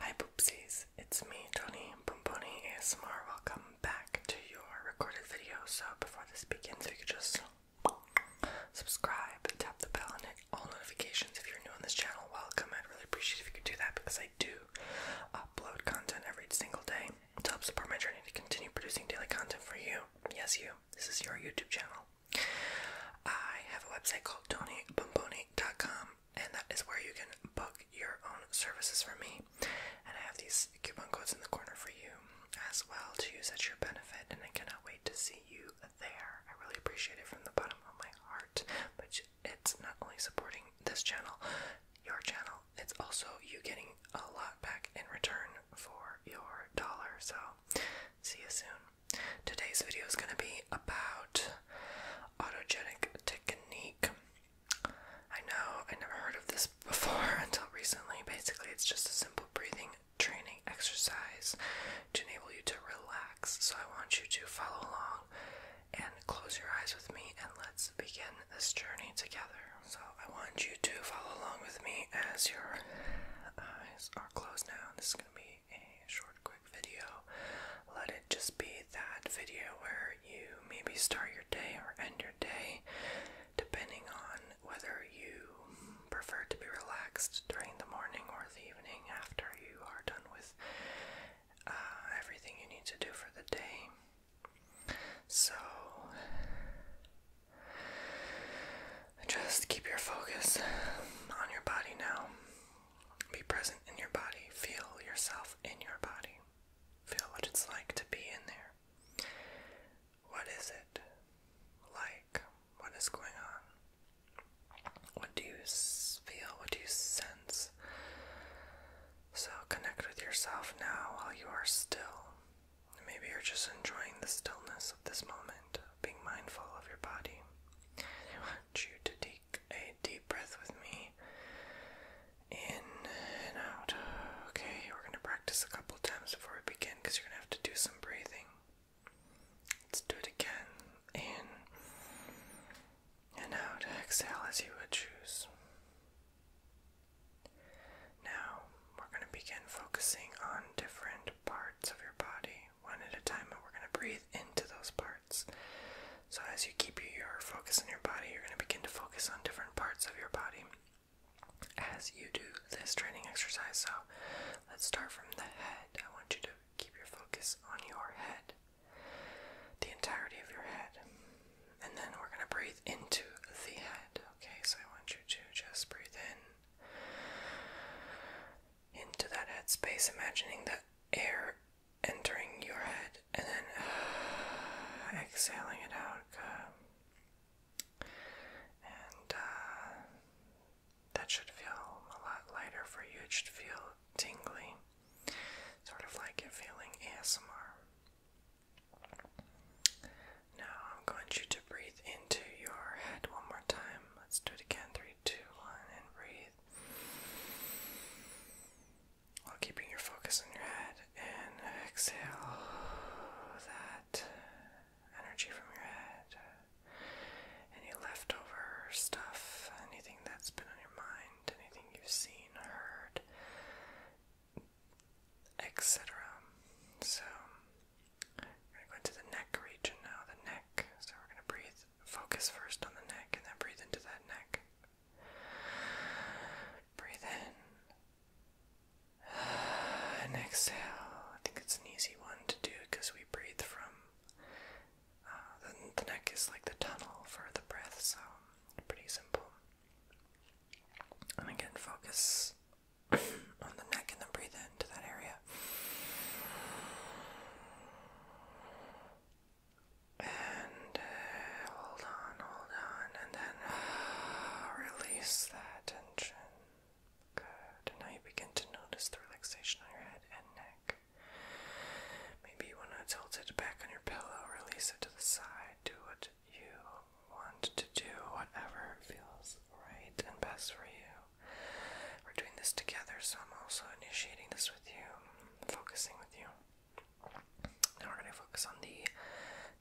Hi poopsies, it's me, Tony Pomponi ASMR. Welcome back to your recorded video. So before this begins, if you could just subscribe, tap the bell, and hit all notifications. If you're new on this channel, welcome. I'd really appreciate if you could do that because I do upload content every single day to help support my journey to continue producing daily content for you. Yes, you. This is your YouTube channel. I have a website called TonyBomboni.com, and that is where you can book your own services for me. And I have these coupon codes in the corner for you as well to use at your benefit. And I cannot wait to see you there. I really appreciate it from the bottom of my heart. But it's not only supporting this channel, your channel, it's also you getting a lot back in return for your dollar. So, see you soon. Today's video is going to be about autogenic technique. I know I never heard of this before until recently. Basically, it's just a simple breathing training exercise to enable you to relax. So, I want you to follow along and close your eyes with me, and let's begin this journey together. So, I want you to follow along with me as your eyes are closed now. This is going to be a short, quick video. Let it just be that video where you maybe start your day or end your day, depending on whether you prefer to be relaxed during the morning or the evening after you are done with uh, everything you need to do for the day. So, just keep your focus on your body now. Be present in your body. Feel yourself in your body. Feel what it's like to be in there. What is it like? What is going on? What do you feel? What do you sense? So connect with yourself now while you are still. Maybe you're just enjoying the stillness of this moment, being mindful of your body. I want you to take take a deep breath with me. In and out. Okay, we're going to practice a couple times before we begin because you're going to have to do some breathing. Let's do it again. In and out. Exhale as you would Now, we're going to begin focusing on different parts of your body one at a time, and we're going to breathe into those parts. So, as you keep your focus on your body, you're going to begin to focus on different parts of your body as you do this training exercise. So, let's start from the head. I want you to keep your focus on your head, the entirety of your head. And then we're going to breathe into the head. Okay, so I want you to just breathe in into that headspace, imagining the air entering your head and then exhaling it out. And uh, that should feel a lot lighter for you. It should feel tingly, sort of like feeling ASMR. Now I'm going you to breathe into your head one more time. Let's do it again. Three three, two, one, and breathe. While keeping your focus on your head, and exhale that energy from your head. Any leftover stuff, anything that's been on your mind, anything you've seen, heard, etc. So, we're going to go into the neck region now, the neck. So, we're going to breathe Focus first on the neck and then breathe into that neck. Breathe in and exhale. I think it's an easy one to do because we breathe from uh, the, the neck is like the tunnel for the breath, so pretty simple. And again, focus on the neck and then breathe into that area. And uh, hold on, hold on, and then release that tension. Good. now you begin to notice the relaxation on your head and neck. Maybe you want to tilt it back on your pillow, release it to the side, do what you want to do, whatever feels right and best for you. We're doing this together, so I'm also initiating this with you focusing with you. Now we're going to focus on the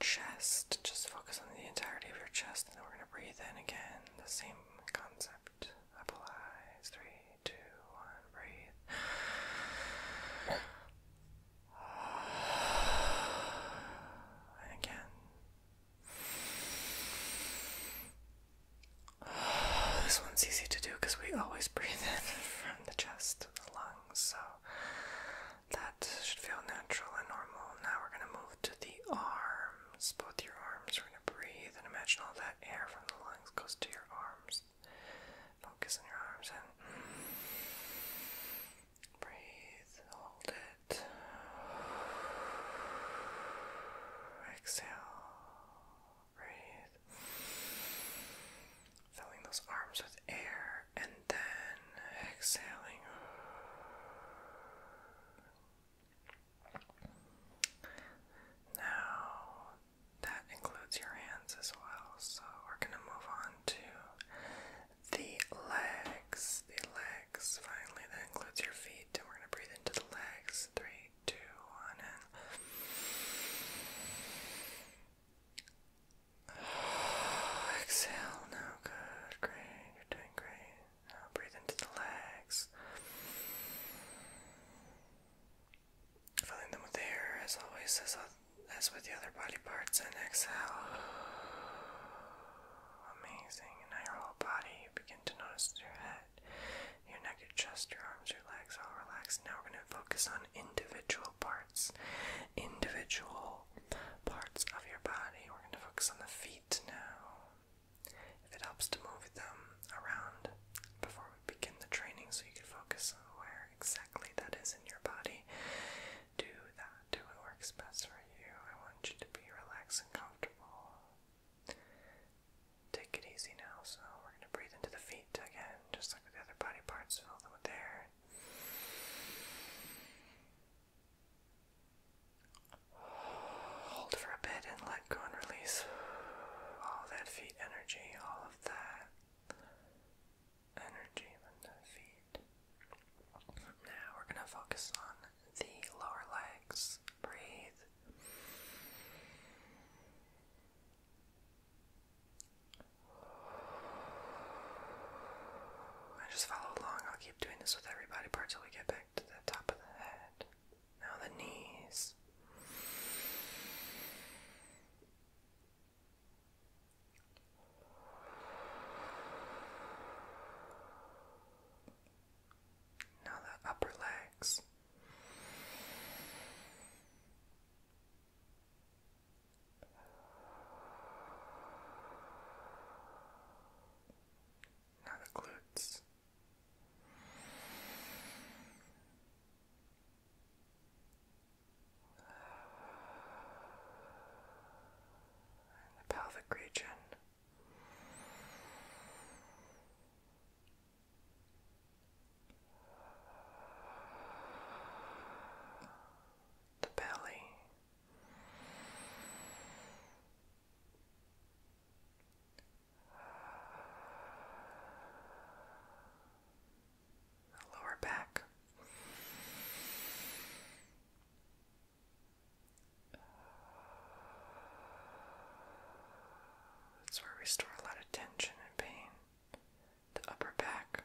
chest. Just focus on the entirety of your chest, and then we're going to breathe in again. The same concept applies. Three, two, one, breathe. again. This one's easy to do because we always breathe in from the chest and the lungs, so that should feel natural and normal. Now we're going to move to the arms, both your arms. We're going to breathe and imagine all that air from the lungs goes to your arms. Focus on your arms and breathe, hold it. Exhale. Breathe. Filling those arms with air and then exhaling. Now, that includes your hands as well, so we're going to move on to the legs. The legs, finally, that includes your feet, and we're going to breathe into the legs. Three three, two, one, and exhale. Now, good, great. You're doing great. Now breathe into the legs, filling them with air as always, as with the other body parts. And exhale. Amazing. And now your whole body. You begin to notice your head. Your neck and chest, your arms, your legs, all relaxed. Now we're going to focus on individual parts. Individual parts of your body. We're going to focus on the feet now. If it helps to move them around before we begin the training so you can focus on where exactly that is in your body, do that. Do what works best for you. I want you to be relaxed and comfortable take it easy now. So we're going to breathe into the feet again, just like with the other body parts, fill them with air. Hold for a bit and let go and release all that feet energy, all of that energy from the feet. Now we're going to focus on the lower legs. Breathe just follow along. I'll keep doing this with every body part till we get back to the top of the head. Now the knees. Now the upper legs. Now the glutes. And the pelvic region the belly. The lower back, that's where we store a lot of tension and pain the upper back.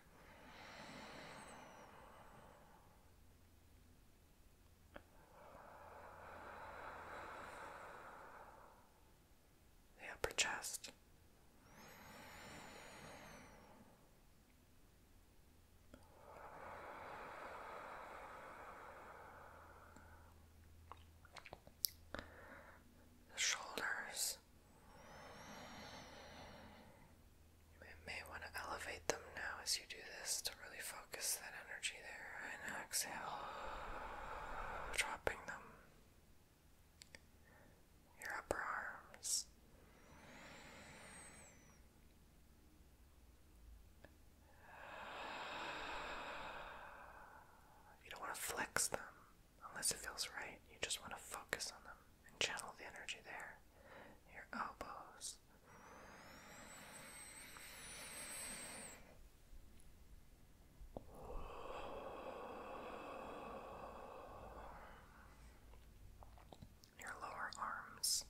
The upper chest, the shoulders. You may want to elevate them now as you do this to really focus that energy there. And exhale, dropping them. Your upper arms. You don't want to flex them. Unless it feels right, you just want to focus on them and channel the energy there. Your elbows. Your lower arms,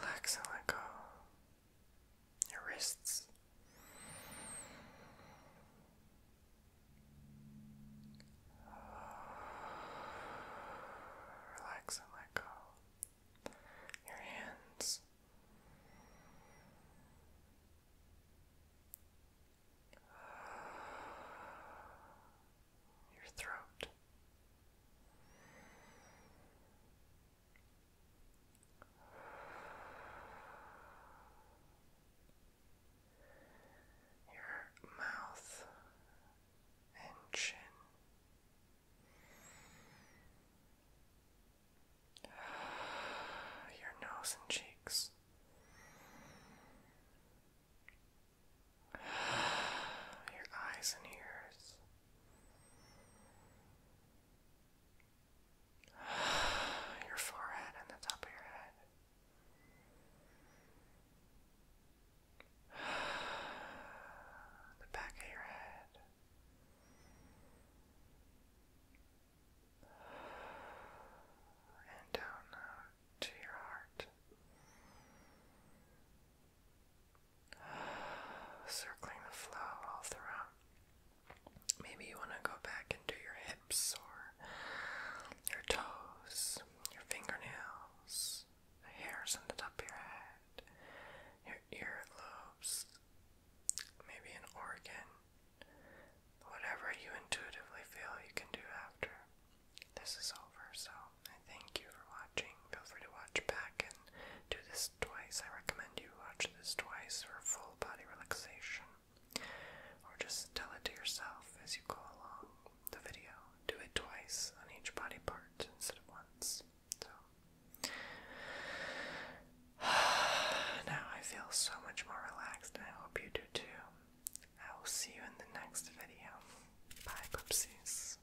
Relax and let go. Your wrists. Relax and let go. Your hands. Your throat. Your mouth and chin. Your nose and cheeks. Your eyes and ears. your forehead and the top of your head. The back of your head. And down uh, to your heart. Circling the flow all throughout. Maybe you want to go back and do your hips or your toes, your fingernails, the hairs on the top of your head, your earlobes. maybe an organ. Whatever you intuitively feel you can do after this is over, so thank you for watching. Feel free to watch back and do this twice. I recommend you watch this twice for full body relaxation. Or just tell it to yourself as you go along the video. Do it twice on each body part instead of once. So now I feel so much more relaxed, I hope you do too. I will see you in the next video. Bye, poopsies.